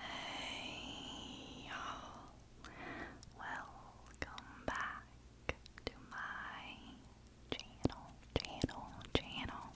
Hey y'all, welcome back to my channel, channel, channel.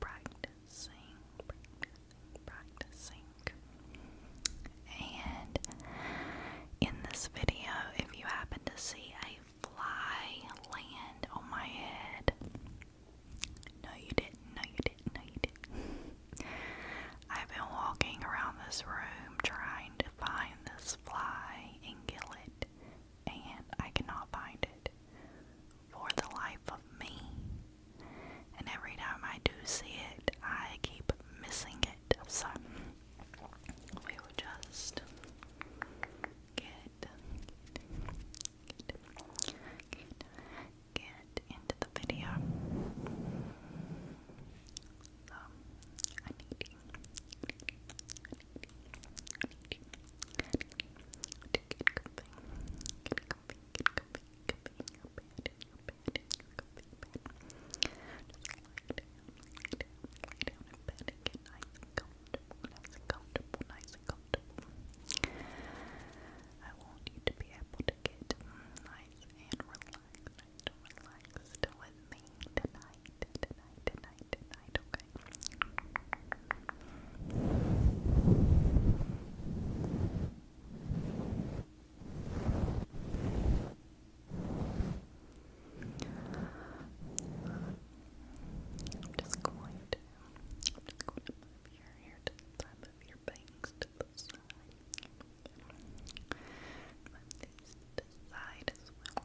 practicing, practicing, practicing. And in this video, if you happen to see a fly land on my head, no, you didn't, no, you didn't, no, you didn't. I've been walking around this room trying to find this fly and kill it, and I cannot find it for the life of me. And every time I do see it, I keep missing it. So we will just get get get, into the video. So I need I need I need I need you. To get comfy, nice and comfortable, nice and comfortable, nice and comfortable. I want you to be able to get nice and relaxed, nice and relaxed with me tonight, tonight, tonight, tonight, okay? I'm just going to, I'm your hair to of your bangs to the side. Move these to side as well.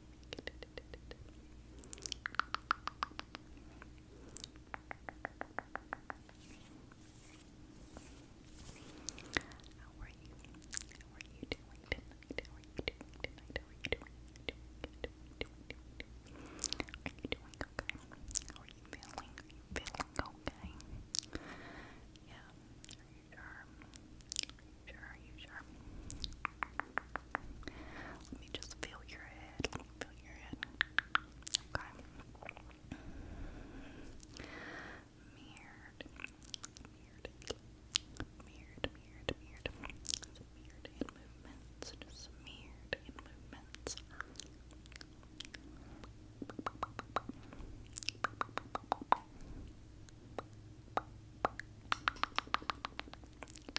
How are you? doing How are you doing are you doing? okay? How are you feeling? feeling okay? Yeah. Are you sure? sure? Are you sure? Let me just feel your head. Let me feel your head. Okay. Mirrored. Mirrored. Mirrored, mirrored, mirrored. It's in movements. Just in movements. You have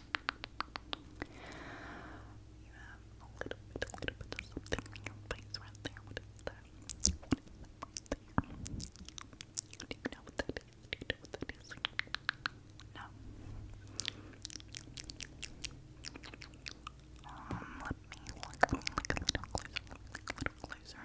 a little bit, a little bit of something in your face What is that? Do you know what that is? Do you know what that is? No. Um, let me look, a little closer, a little closer.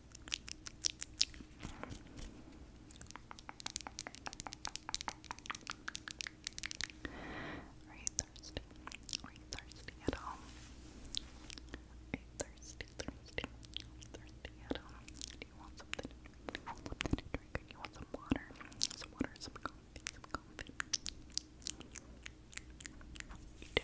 Are you thirsty? Are you thirsty at all? Are you thirsty, thirsty? thirsty at all? Do you want something Do you want something to drink? you want some water? Some water, some coffee, some coffee. You do.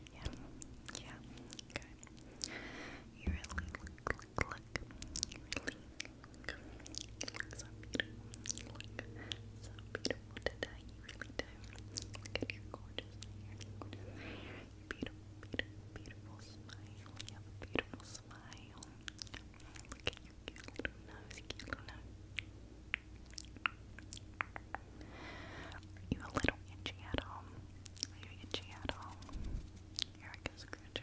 good. Yeah. Yeah. Good. You really look, look, look. You really look, look so beautiful. You look so beautiful today. You really do. Look at your gorgeous hair. Your gorgeous hair. Your beautiful, beautiful, beautiful smile. You have a beautiful smile. Look at your cute little nose. Cute little nose. Are you a little itchy at home? Are you itchy at home? Erica's scratching.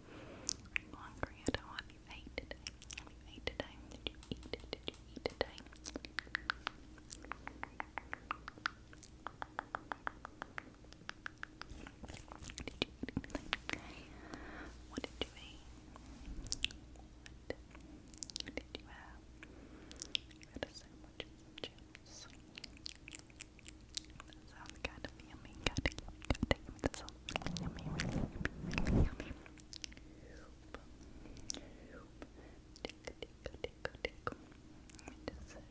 hungry. I don't want you ate today. today? Did you eat? today? Did you eat anything? What did you eat? What did you have? That sounds kind of yummy, kind of kind of That sounds really yummy, yummy, yummy. Tick, tick, tick, tick. Let me just Tick,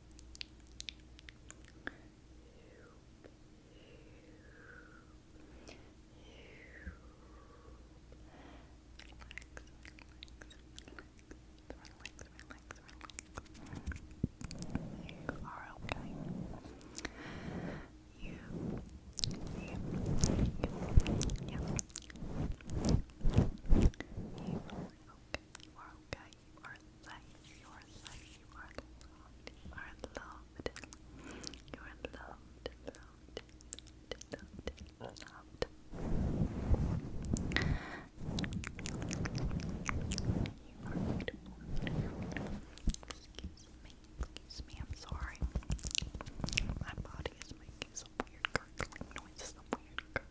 you are okay. You, you, you, you. You are okay. You are okay you are loved, you are loved, you are loved, you are loved, you are loved, loved, loved, loved, You are beautiful, Excuse me, excuse me, I'm sorry. My body is making some weird gurgling noises,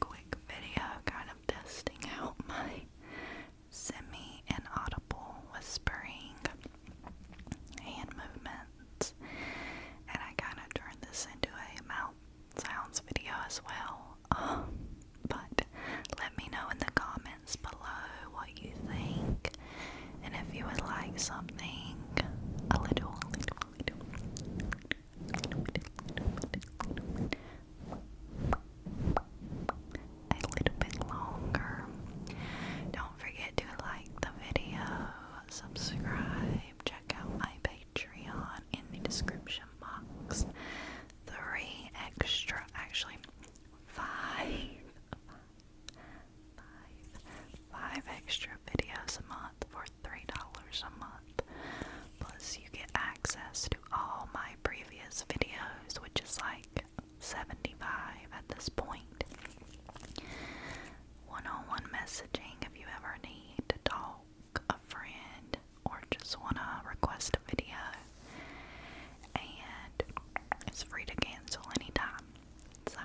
quick video kind of testing out my semi inaudible whispering hand movements, and I kind of turned this into a mouth sounds video as well. Um, but let me know in the comments below what you think, and if you would like something a little a little bit longer. Don't forget to like the video, subscribe, check out my Patreon in the description box. Three extra, actually, five, five, five, five extra videos a month for $3 a month. Plus, you get access to all my previous videos, which is like 75 at this point. One on one messaging if you ever need to talk, a friend, or just want to request a video. And it's free to cancel anytime. So,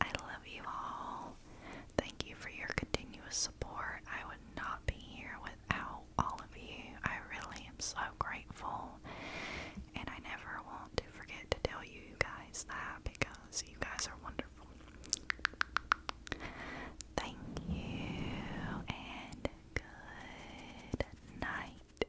I love you all. Thank you for your continuous support. I would not be here without all of you. I really am so grateful. And I never want to forget to tell you guys that because you guys are wonderful. Thank you and good night.